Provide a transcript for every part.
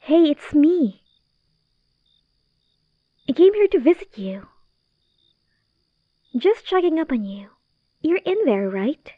Hey, it's me. I came here to visit you. Just checking up on you. You're in there, right?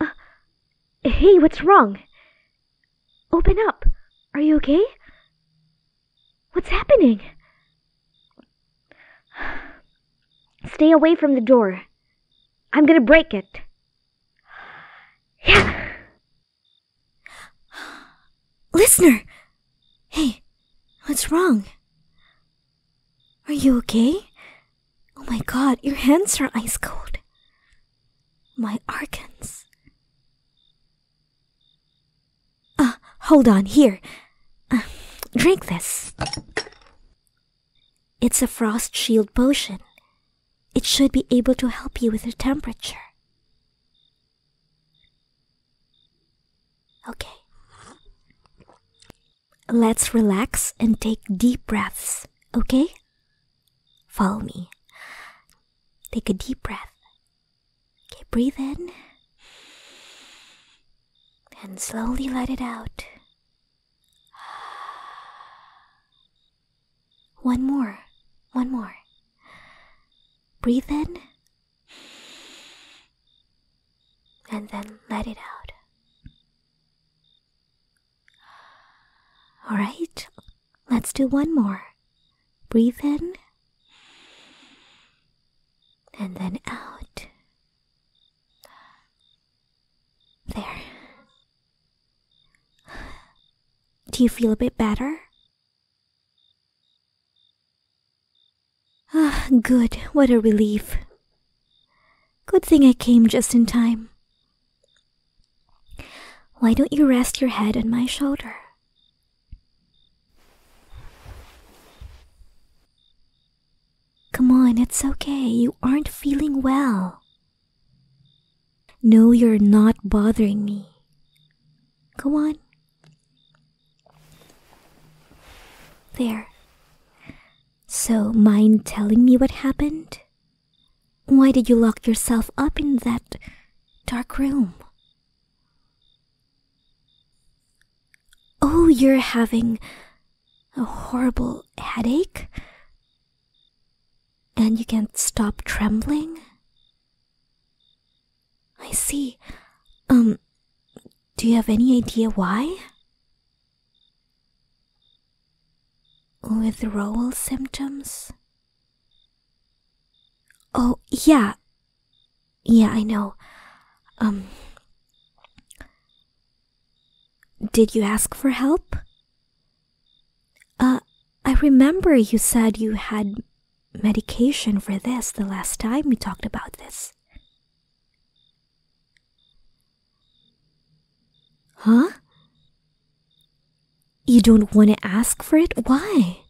Uh, hey, what's wrong? Open up. Are you okay? What's happening? Stay away from the door. I'm gonna break it. Yeah. Listener! Hey, what's wrong? Are you okay? Oh my god, your hands are ice cold. My arcans. Uh, hold on, here. Uh, drink this. It's a frost shield potion. It should be able to help you with your temperature. Okay. Let's relax and take deep breaths, okay? Follow me. Take a deep breath Okay, breathe in and slowly let it out. One more, one more. Breathe in and then let it out. Alright, let's do one more. Breathe in and then out. There. Do you feel a bit better? Ah, good. What a relief. Good thing I came just in time. Why don't you rest your head on my shoulder? Come on, it's okay. You aren't feeling well. No, you're not bothering me. Come on. There. So, mind telling me what happened? Why did you lock yourself up in that dark room? Oh, you're having a horrible headache? And you can't stop trembling? I see. Um, do you have any idea why? Withdrawal symptoms? Oh, yeah. Yeah, I know. Um. Did you ask for help? Uh, I remember you said you had medication for this the last time we talked about this. Huh? You don't want to ask for it? Why?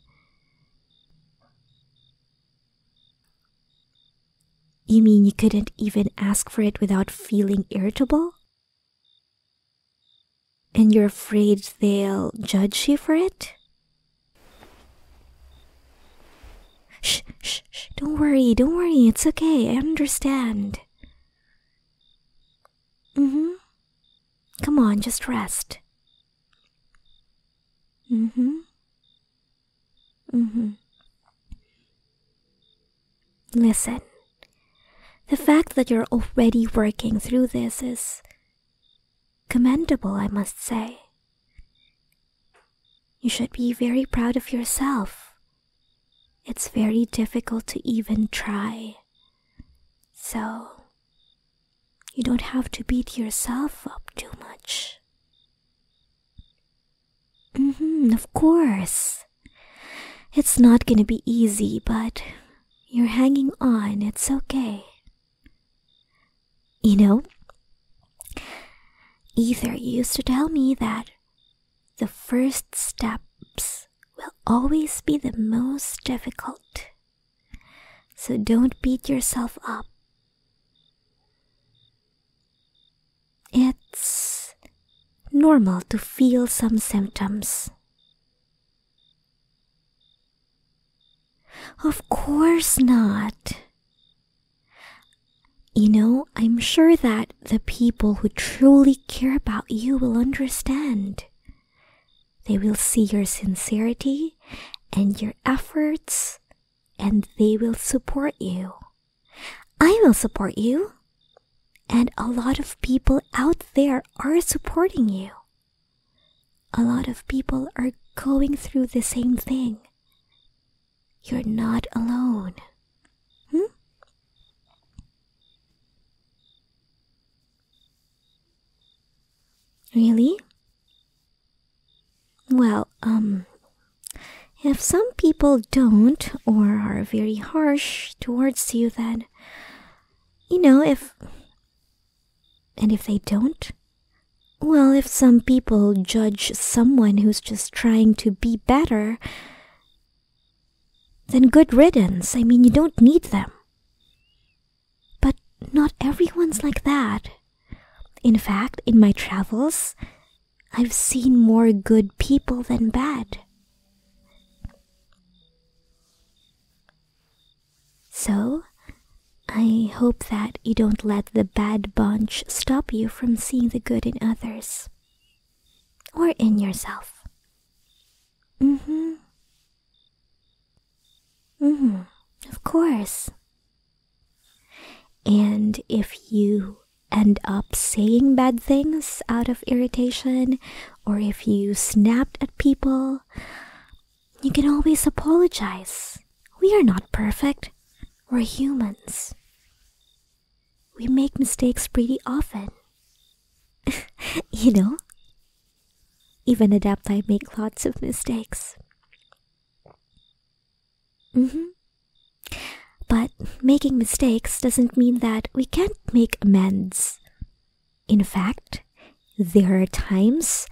You mean you couldn't even ask for it without feeling irritable? And you're afraid they'll judge you for it? Shh, shh, shh, don't worry, don't worry, it's okay, I understand. Mm hmm. Come on, just rest. Mm-hmm. Mm-hmm. Listen, the fact that you're already working through this is commendable, I must say. You should be very proud of yourself. It's very difficult to even try. So, you don't have to beat yourself up too much. Mm-hmm, of course. It's not gonna be easy, but you're hanging on, it's okay. You know, Ether used to tell me that the first steps will always be the most difficult. So don't beat yourself up. It's normal to feel some symptoms. Of course not. You know, I'm sure that the people who truly care about you will understand. They will see your sincerity and your efforts, and they will support you. I will support you. And a lot of people out there are supporting you. A lot of people are going through the same thing. You're not alone. Hmm? Really? Well, um, if some people don't or are very harsh towards you, then, you know, if. And if they don't? Well, if some people judge someone who's just trying to be better, then good riddance. I mean, you don't need them. But not everyone's like that. In fact, in my travels, I've seen more good people than bad. So, I hope that you don't let the bad bunch stop you from seeing the good in others or in yourself. Mm-hmm. Mm-hmm. Of course. And if you end up saying bad things out of irritation, or if you snapped at people, you can always apologize. We are not perfect. We're humans. We make mistakes pretty often. you know? Even adapt I make lots of mistakes. hmm But making mistakes doesn't mean that we can't make amends. In fact, there are times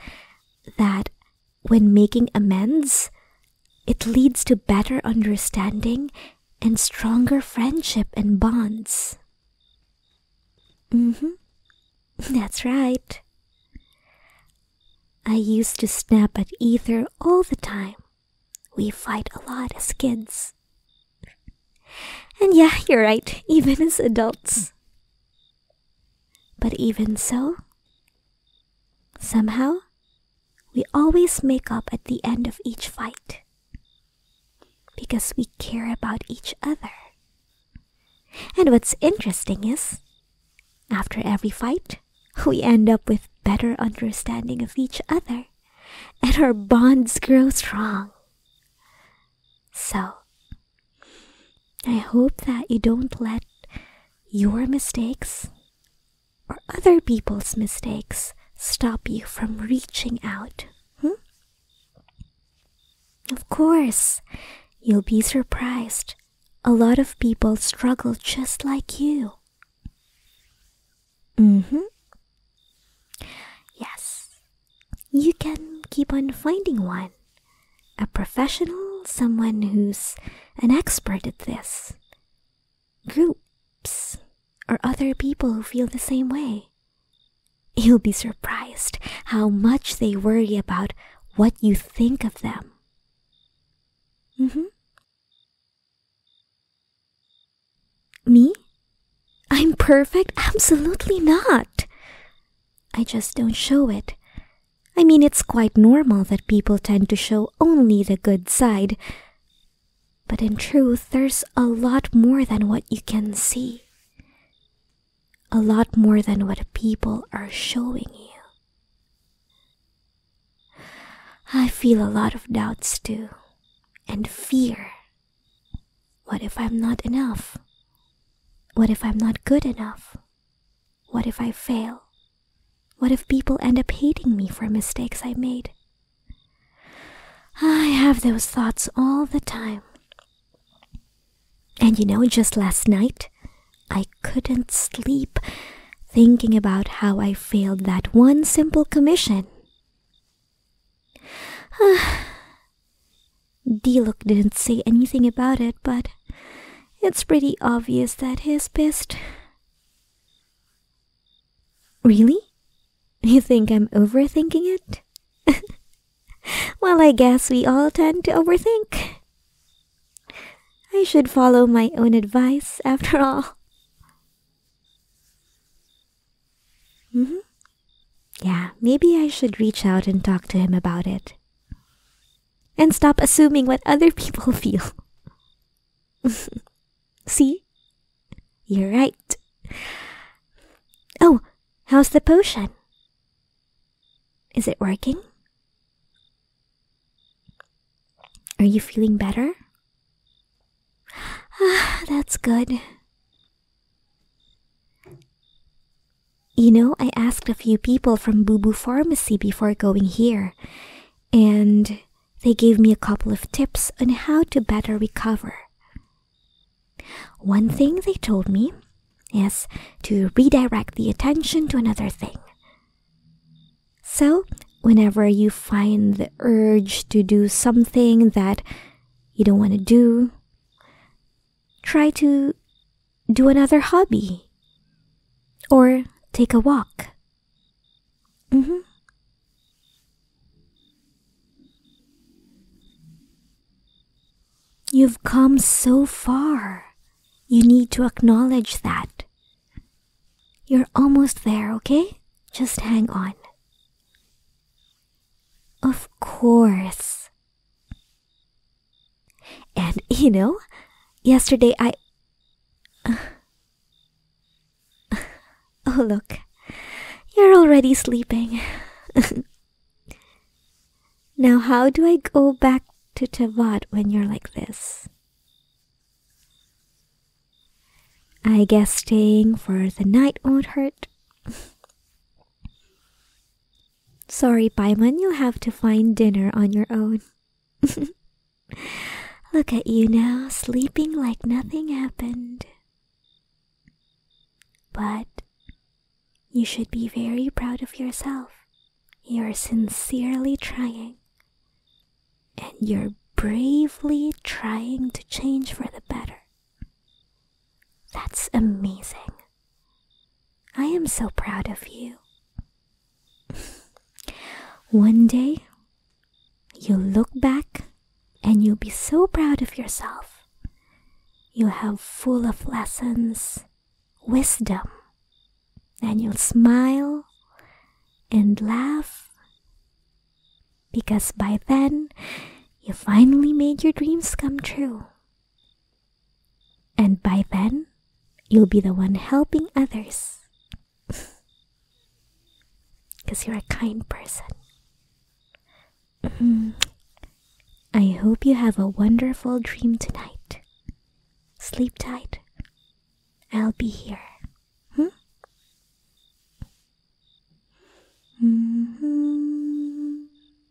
that when making amends, it leads to better understanding and stronger friendship and bonds. Mm hmm. That's right. I used to snap at Ether all the time. We fight a lot as kids. And yeah, you're right, even as adults. But even so, somehow, we always make up at the end of each fight because we care about each other. And what's interesting is, after every fight, we end up with better understanding of each other and our bonds grow strong. So, I hope that you don't let your mistakes or other people's mistakes stop you from reaching out? Hmm? Of course, you'll be surprised. A lot of people struggle just like you. Mm hmm. Yes, you can keep on finding one. A professional, someone who's an expert at this groups or other people who feel the same way. You'll be surprised how much they worry about what you think of them. Mm-hmm. Me? I'm perfect? Absolutely not. I just don't show it. I mean, it's quite normal that people tend to show only the good side. But in truth, there's a lot more than what you can see, a lot more than what people are showing you. I feel a lot of doubts too, and fear. What if I'm not enough? What if I'm not good enough? What if I fail? What if people end up hating me for mistakes I made? I have those thoughts all the time. And you know, just last night, I couldn't sleep thinking about how I failed that one simple commission. Diluc didn't say anything about it, but it's pretty obvious that he's pissed. Really? You think I'm overthinking it? well, I guess we all tend to overthink. I should follow my own advice after all. hmm Yeah, maybe I should reach out and talk to him about it. And stop assuming what other people feel. See? You're right. Oh, how's the potion? Is it working? Are you feeling better? Ah, that's good. You know, I asked a few people from Boo Boo Pharmacy before going here, and they gave me a couple of tips on how to better recover. One thing they told me is to redirect the attention to another thing. So, whenever you find the urge to do something that you don't want to do, try to do another hobby or take a walk. Mm-hmm. You've come so far. You need to acknowledge that. You're almost there, okay? Just hang on. Of course. And you know, yesterday I. Oh, look. You're already sleeping. now, how do I go back to Tavad when you're like this? I guess staying for the night won't hurt. Sorry, Paimon, you'll have to find dinner on your own. Look at you now, sleeping like nothing happened. But you should be very proud of yourself. You're sincerely trying, and you're bravely trying to change for the better. That's amazing. I am so proud of you. One day, you'll look back and you'll be so proud of yourself. You'll have full of lessons, wisdom, and you'll smile and laugh because by then you finally made your dreams come true. And by then, you'll be the one helping others. Because you're a kind person. Mm. I hope you have a wonderful dream tonight. Sleep tight. I'll be here. hmm mm-hmm.